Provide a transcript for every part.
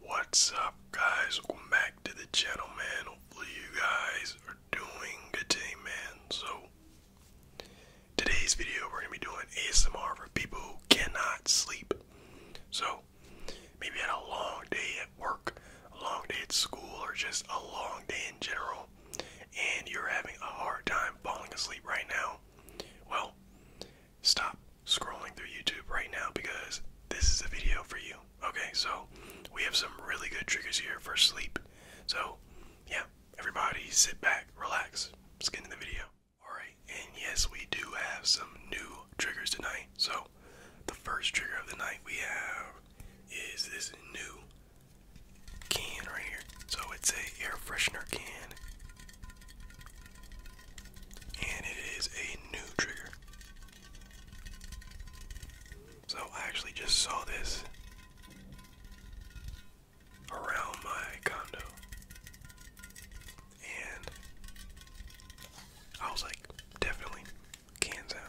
What's up guys? Welcome back to the channel man. Hopefully you guys are doing good today man. So today's video we're gonna be doing ASMR for people who cannot sleep. So maybe had a long day at work, a long day at school, or just a long day in general, and you're having a hard time falling asleep right now. Well, stop, scrolling through YouTube right now because this is a video for you. Okay, so we have some really good triggers here for sleep. So, yeah, everybody sit back, relax, let's get into the video. Alright, and yes, we do have some new triggers tonight. So, the first trigger of the night we have is this new can right here. So, it's a air freshener can. And it is a new trigger. So I actually just saw this around my condo. And I was like, definitely can sound.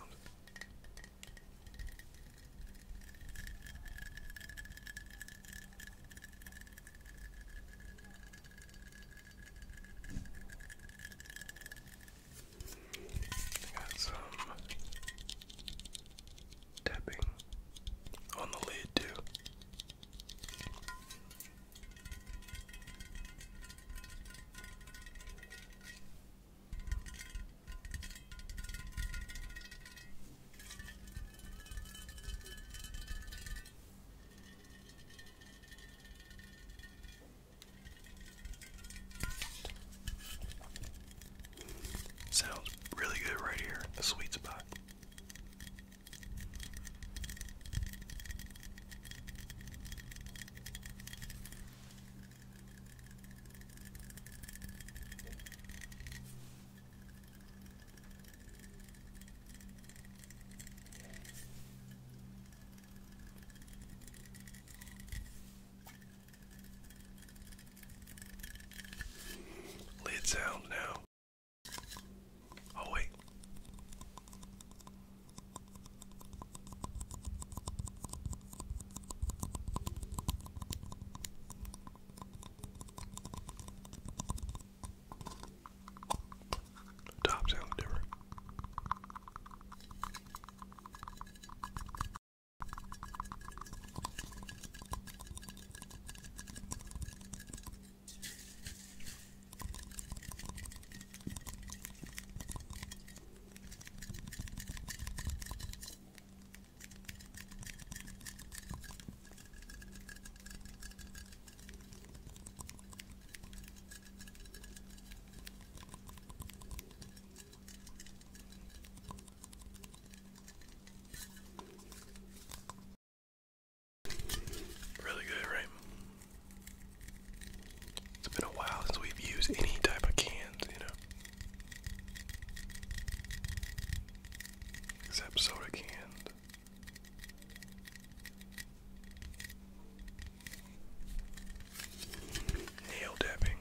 Got some tapping on the lid too. Sounds really good right here, a sweet spot. Lids out now. Oh, wait. The top sounds different. Really good, right? It's been a while since we've used any type of cans, you know. Except soda cans. Nail dabbing.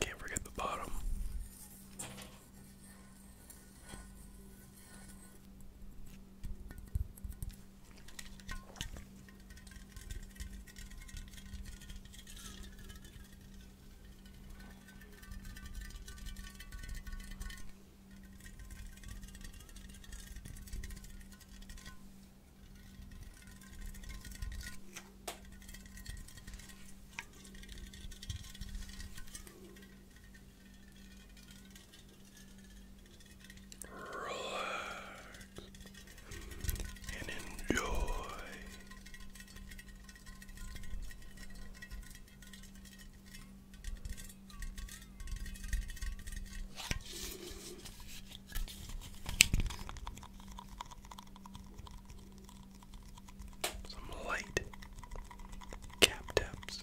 Can't forget the bottom. Relax and enjoy. Some light cap taps.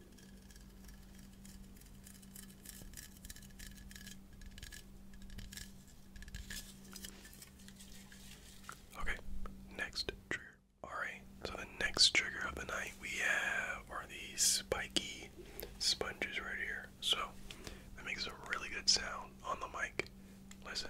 Okay, next trigger. Alright, so the next trigger of the night we have are these spiky sponges right here. So that makes a really good sound on the mic. Listen.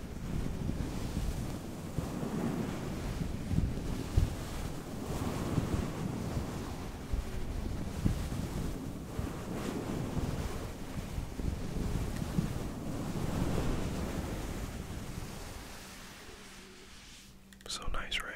So nice, right?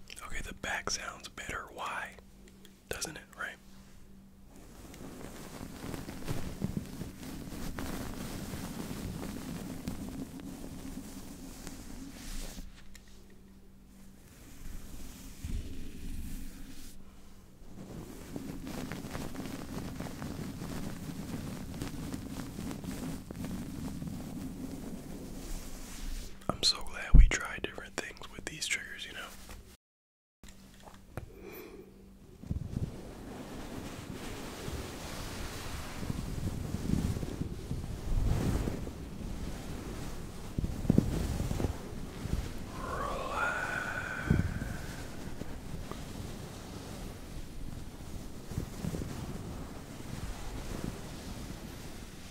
Okay, the back sounds better. Why? Doesn't it, right? I'm so glad we tried different things with these triggers, you know. Relax.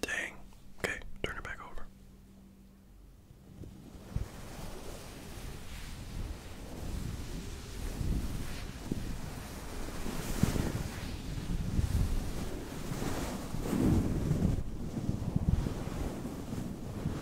Dang. Okay, turn it back over.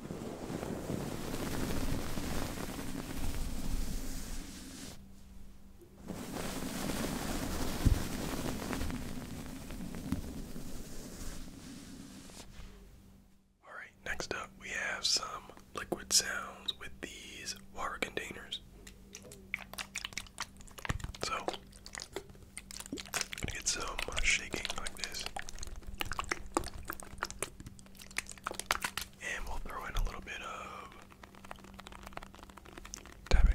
All right, next up we have some liquid sounds with these water containers. So, get some uh, shaking like this. And we'll throw in a little bit of tapping.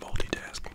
Multitasking.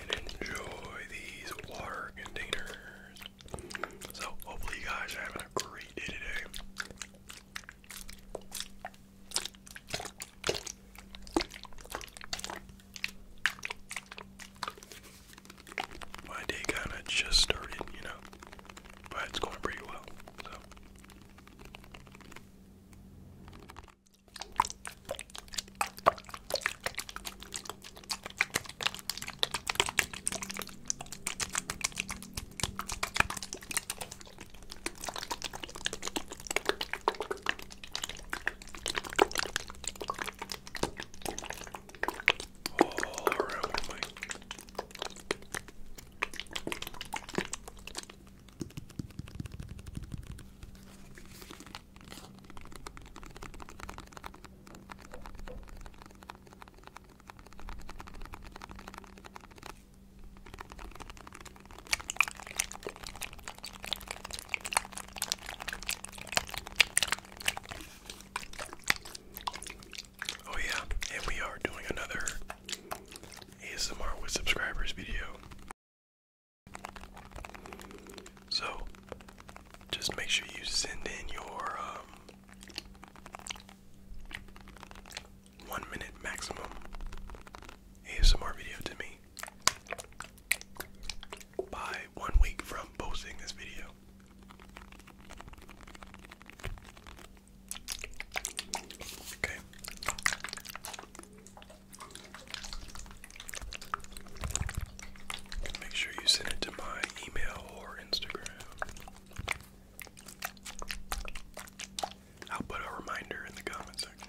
And enjoy these water containers. So, hopefully, you guys are having a great day today. My day kind of just started, you know, but it's going pretty well. So all around me. Oh yeah, and we are doing another ASMR with subscribers video. So, just make sure you send in your um, one minute maximum ASMR video to me by one week from posting this video. Okay. Make sure you send it to my email or Instagram. I'll put a reminder in the comment section.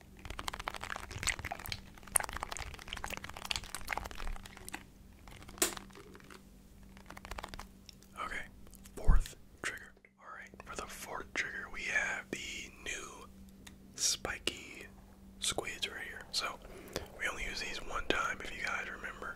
Okay, fourth trigger. Alright, for the fourth trigger, we have the new spiky squids right here. So, we only use these one time if you guys remember.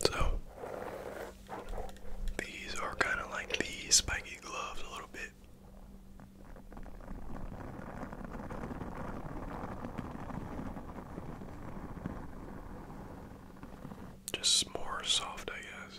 So, these are kind of like the spiky gloves a little bit. Just more soft, I guess.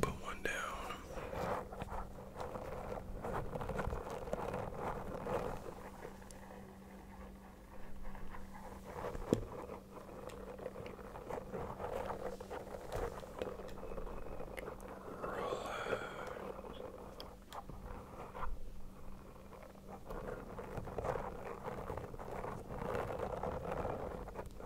Put one down. Relax. Relax.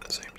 at the same time.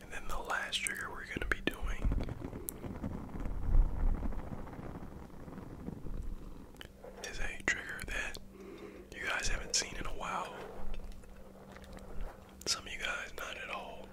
And then the last trigger we're going to be doing is a trigger that you guys haven't seen in a while. Some of you guys, not at all.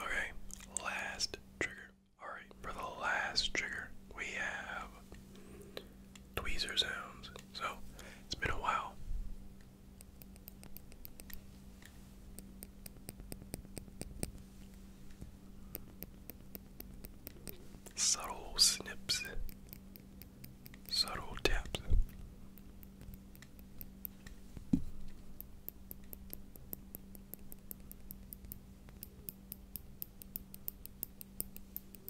Okay, last trigger. Alright, for the last trigger, we have tweezer sounds. So it's been a while. Subtle snips, subtle taps.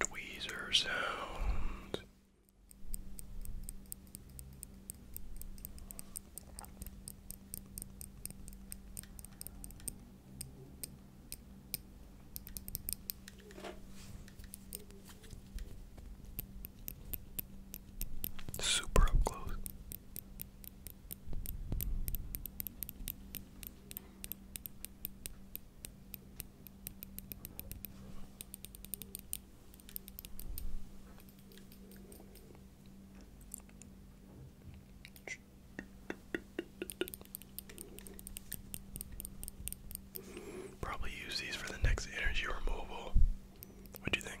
Tweezer sounds. Super up close. Probably use these for the next energy removal. What do you think?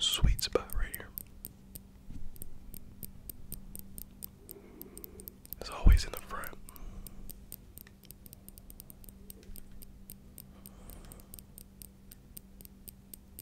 Sweet spot right here. It's always in the front.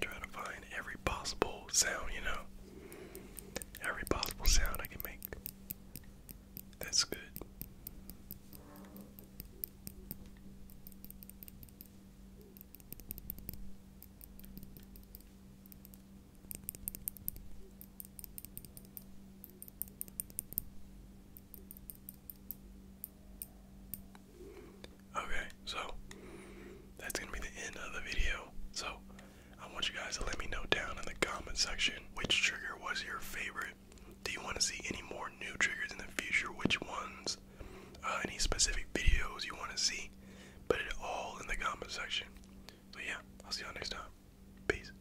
Trying to find every possible sound, you know. Every possible sound I can make. That's good. Okay, so that's gonna be the end of the video. So I want you guys to let me know down in the comment section which trigger was your favorite. Do you want to see any more new triggers in the future? Which ones? Uh, any specific videos you want to see? Put it all in the comment section. So yeah, I'll see y'all next time. Peace.